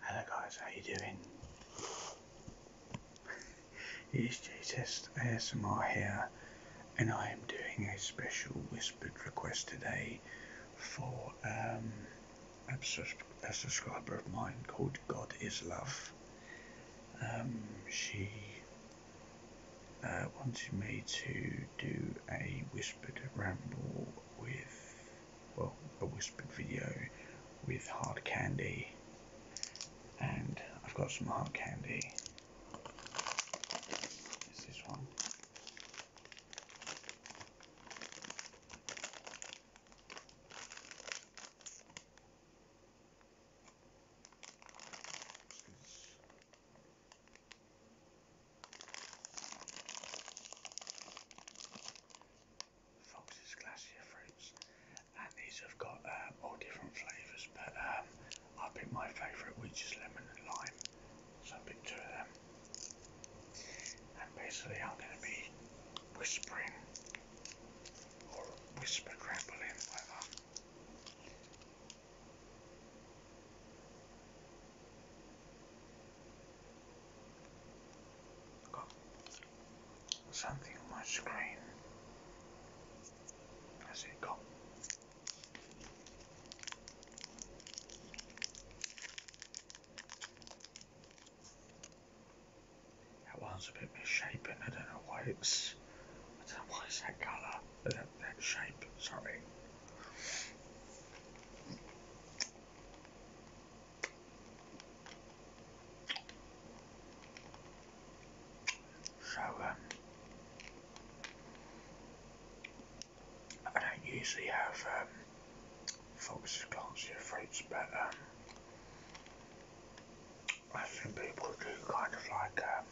Hello guys, how you doing? it is Jesus ASMR here and I am doing a special whispered request today for um, a, subscriber of mine called God is Love. Um, she uh, wanted me to do a whispered ramble with, well, a whispered video with hard candy. And I've got some hard candy. It's this one. Fox's Glacier Fruits, and these have got um, all different flavours, but um, I picked my favourite, which is lemon and lime, so I picked two of them. And basically, I'm going to be whispering or whisper crampling, whatever something on my screen. Has it That one's a bit misshapen. I don't know why it's. I that colour that, that shape, sorry. So, um, I don't usually have um, foxes glancing at fruits, but um, I think people do kind of like um,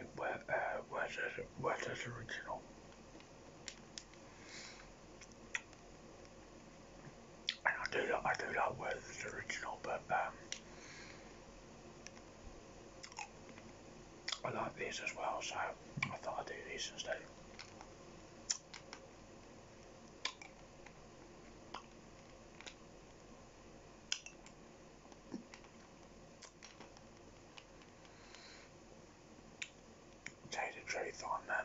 it was, uh, was, his, original. And I do like, I do like Werther's original, but um, I like these as well, so I thought I'd do this instead. Tell you the truth on them.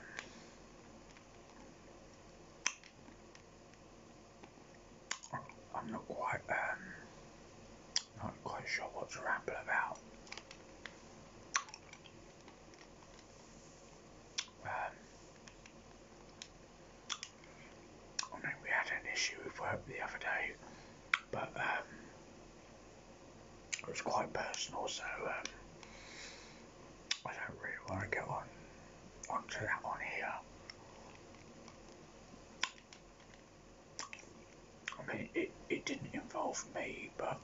Um, I'm not quite um not quite sure what to ramble about. Um, I oh, mean, we had an issue with work the other day, but um, it was quite personal, so um, I don't really want to get on onto that one here. I mean, it, it didn't involve me, but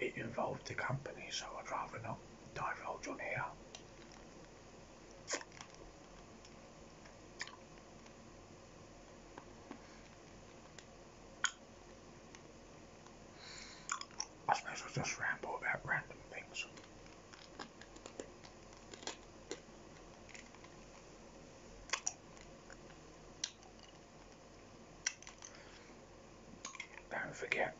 it involved the company, so I'd rather not divulge on here. I suppose I'll just ramble about random things. Don't forget,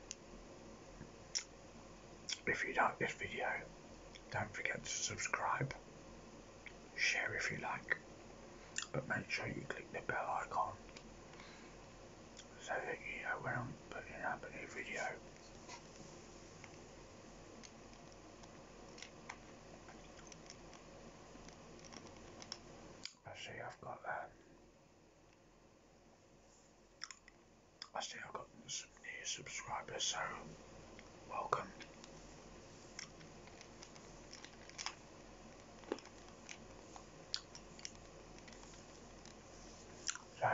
if you like this video, don't forget to subscribe, share if you like, but make sure you click the bell icon so that you know when I'm putting up a new video. I see I've got that. Um, I see I've got some new subscribers, so welcome. So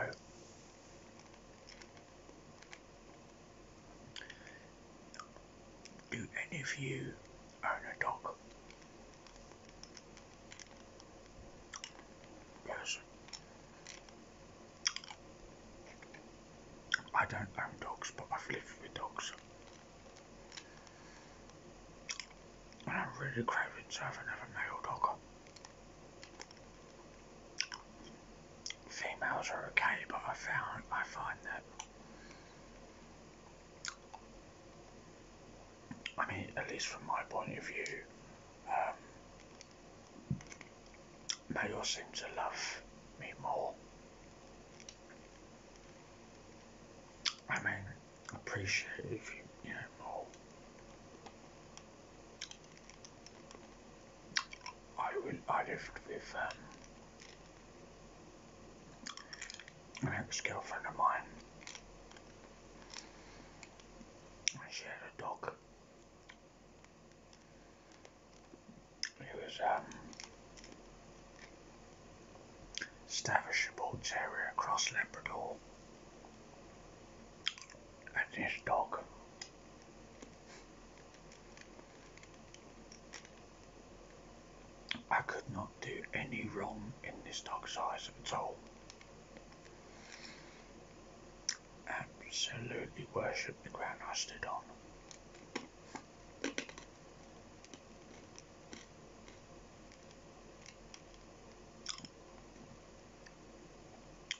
do any of you own a dog? Yes. I don't own dogs, but I've lived with dogs. And I'm really craving to have another male dog. Females are okay, but I found I find that I mean, at least from my point of view, um, now you seem to love me more. I mean, appreciate if you, you know, I will. I lived with um, an ex-girlfriend of mine. And she a dog. He was a um, Staffordshire Bull Terrier cross Labrador and his dog. I could not do any wrong in this dog size at all. Absolutely worship the ground I stood on.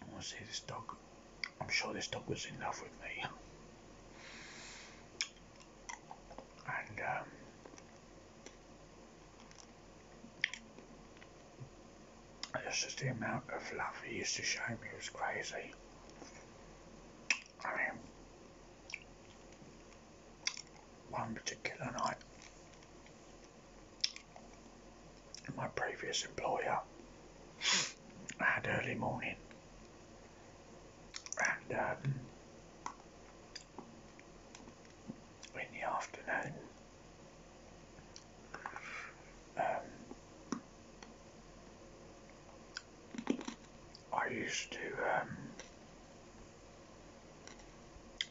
I want to see this dog. I'm sure this dog was in love with me. And, um, it's just the amount of love he used to show me was crazy. I mean, one particular night, my previous employer had early morning, and um, in the afternoon, um, I used to, um,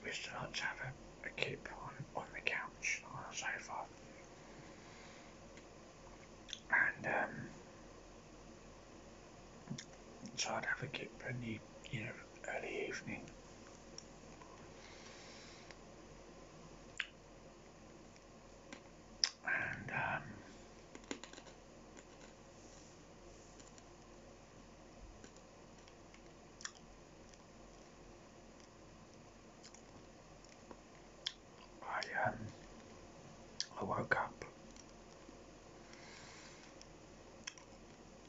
used to like to have a, a kip on, on the couch, on the sofa. And, um, so I'd have a kip in the, you know, early evening. Um, um, and I I woke up.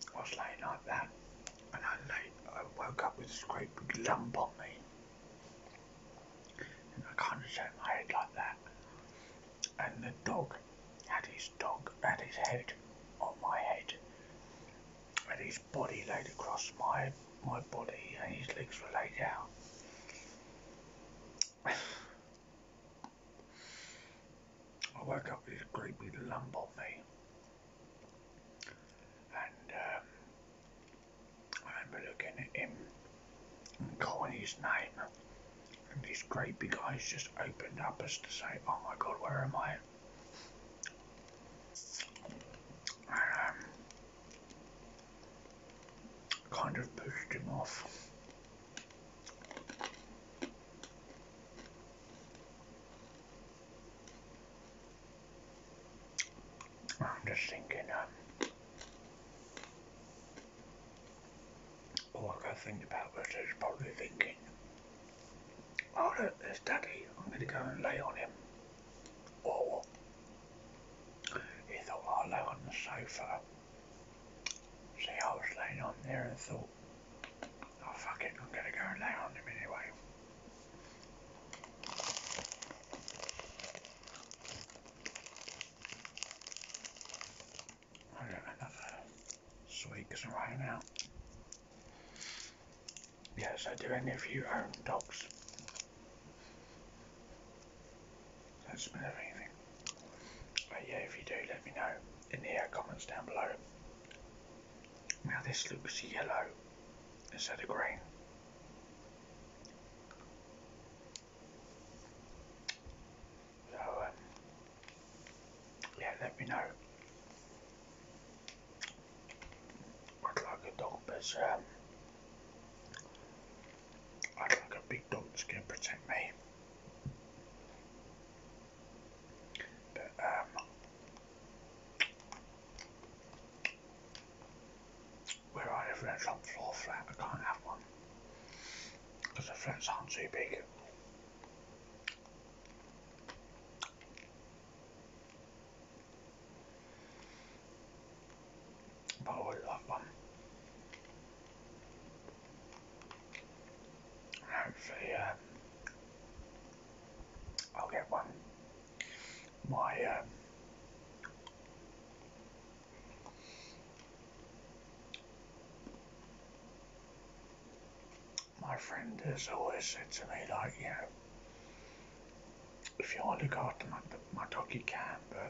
I was laying like that, and I lay, I woke up with this great big lump on me. And I kind of turned head like that. And the dog had his dog had his head on my head. And his body laid across my my body and his legs were laid out. I woke up with a creepy lump on me. And um, I remember looking at him and calling his name, and these creepy big just opened up as to say, "Oh my God, where am I?" And, um, kind of pushed him off. I'm just thinking, um, all I can think about I was probably thinking, oh look, there's Daddy, I'm going to go and lay on him. Or he thought I'll lay on the sofa. See, I was laying on there and thought, oh fuck it, I'm going to go and lay on him anyway. I got enough swigs right now. Yes, I do any of you own dogs. That's been anything. But yeah, if you do, let me know in the comments down below. Now this looks yellow. Is that green. So, uh, yeah, let me know I'd like a dog that's, um, I'd like a big dog to protect me. But, um, where I live in top floor flat, I can't have one because the flats aren't too big. But I would love one. hopefully, um, I'll get one my um, my friend has always said to me, like, you know, if you want to look after my, my dog, you can, but uh,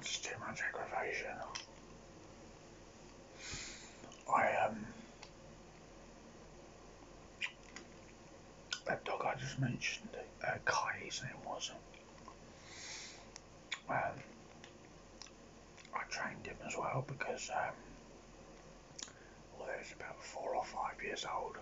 it's too much aggravation. I um that dog I just mentioned, uh, Kai his name was. Um, I trained him as well because um, well, he about four or five years old.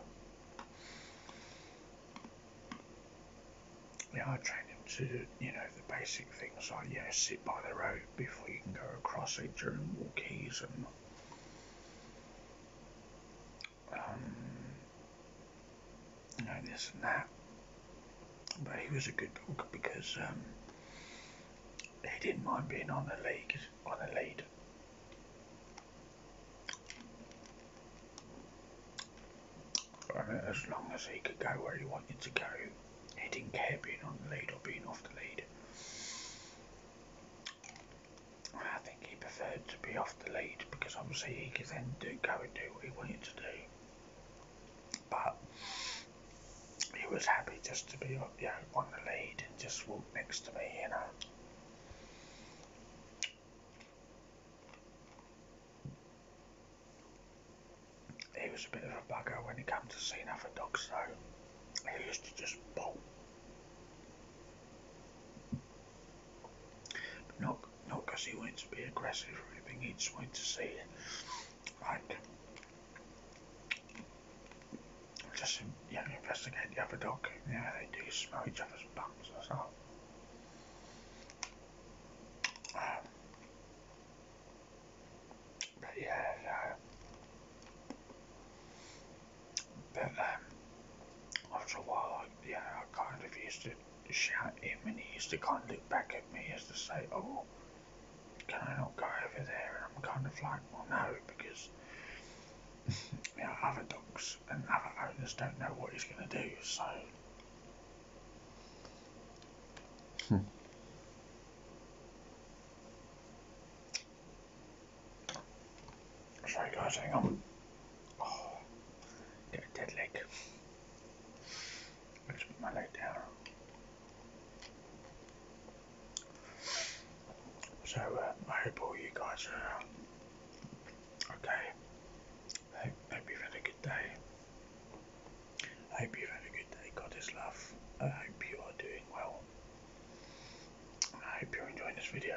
Yeah, I trained him to you know, the basic things like, you sit by the road before you can go across a German walk season. you um, know, this and that. But he was a good dog because um, he didn't mind being on the lead. On the lead. as long as he could go where he wanted to go. He didn't care being on the lead or being off the lead. I think he preferred to be off the lead because obviously he could then do, go and do what he wanted to do. But he was happy just to be you know, on the lead and just walk next to me, you know. He was a bit of a bugger when it came to seeing other dogs though. He used to just bolt. But not not because he wanted to be aggressive or anything, he just wanted to see like just yeah, investigate the other dog. Yeah, they do smell each other's bums or something. Um, but yeah, no. But um, after a while, I, you know, I kind of used to shout at him, and he used to kind of look back at me as to say, "Oh, can I not go over there?" And I'm kind of like, "Well, no," because you know, other dogs and other owners don't know what he's going to do, so Hmm. Sorry guys, hang on. Oh, dead leg. Let's put my leg down. So uh, I hope all you guys are uh, okay. I hope, hope you've had day. I hope you've had a good day. God love. I hope you are doing well. I hope you're enjoying this video.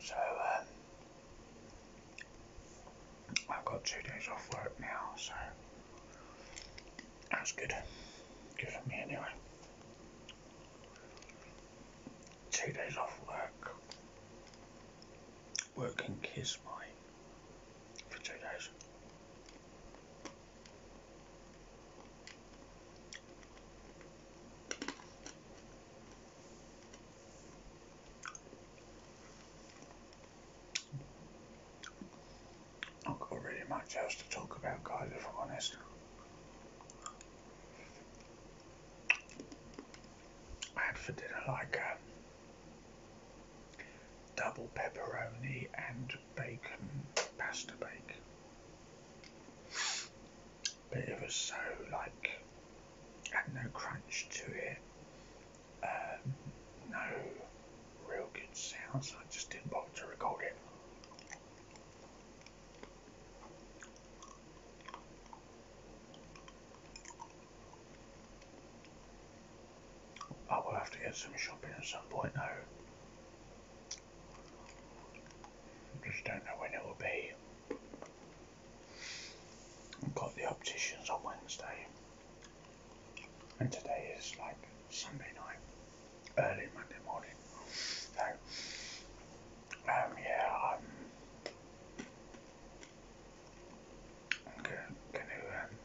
So, um, I've got two days off work now, so that's good. Good me anyway. Two days off work. Working and kiss my for two days. I've got really much else to talk about, guys, if I'm honest. I had for dinner like a um, double pepperoni and bacon pasta bake. But it was so like had no crunch to it uh, no real good sound, so I just didn't bother to record it. I will have to get some shopping at some point though. Just don't know when it will be got the opticians on Wednesday, and today is like Sunday night, early Monday morning. So, um, yeah, I'm, I'm going to um,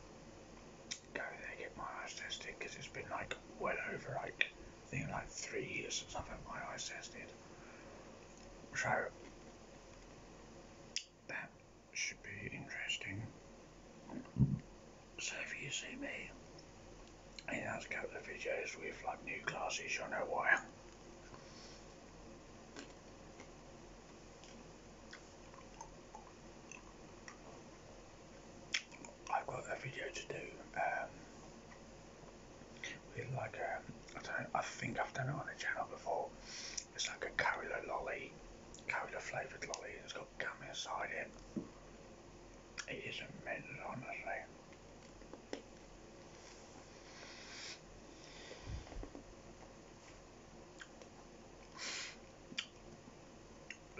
go there get my eyes tested because it's been like well over like I think like three years since I've had my eyes tested. So that should be interesting. So if you see me in a couple of videos with like new classes, you know why. I've got a video to do um, with like um, I don't I think I've done it on the channel before it's like a Cola lolly, Cola flavoured lolly. It's got gum inside it. It is immense, honestly.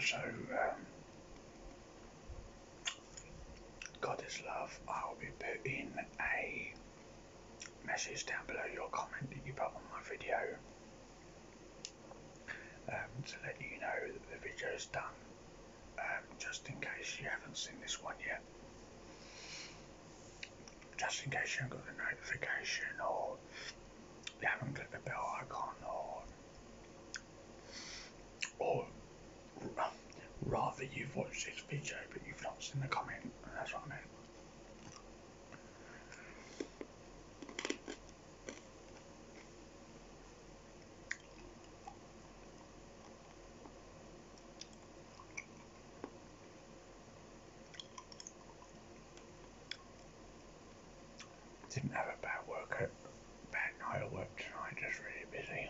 So, um, God is love. I'll be put in a message down below your comment that you put on my video um, to let you know that the video is done, um, just in case you haven't seen this one yet. Just in case you haven't got the notification or you haven't clicked the bell icon or or rather you've watched this video but you've not seen the comment, that's what I meant. Didn't have a bad workout, bad night at work tonight, just really busy.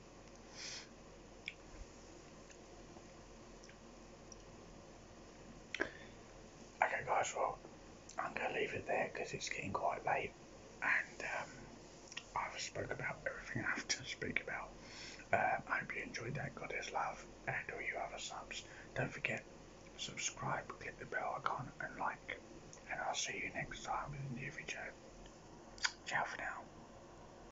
Okay, guys, well, I'm going to leave it there because it's getting quite late and um, I've spoke about everything I have to speak about. Um, I hope you enjoyed that. Goddess love and all you other subs. Don't forget, subscribe, click the bell icon and like. And I'll see you next time with a new video. Ciao for now.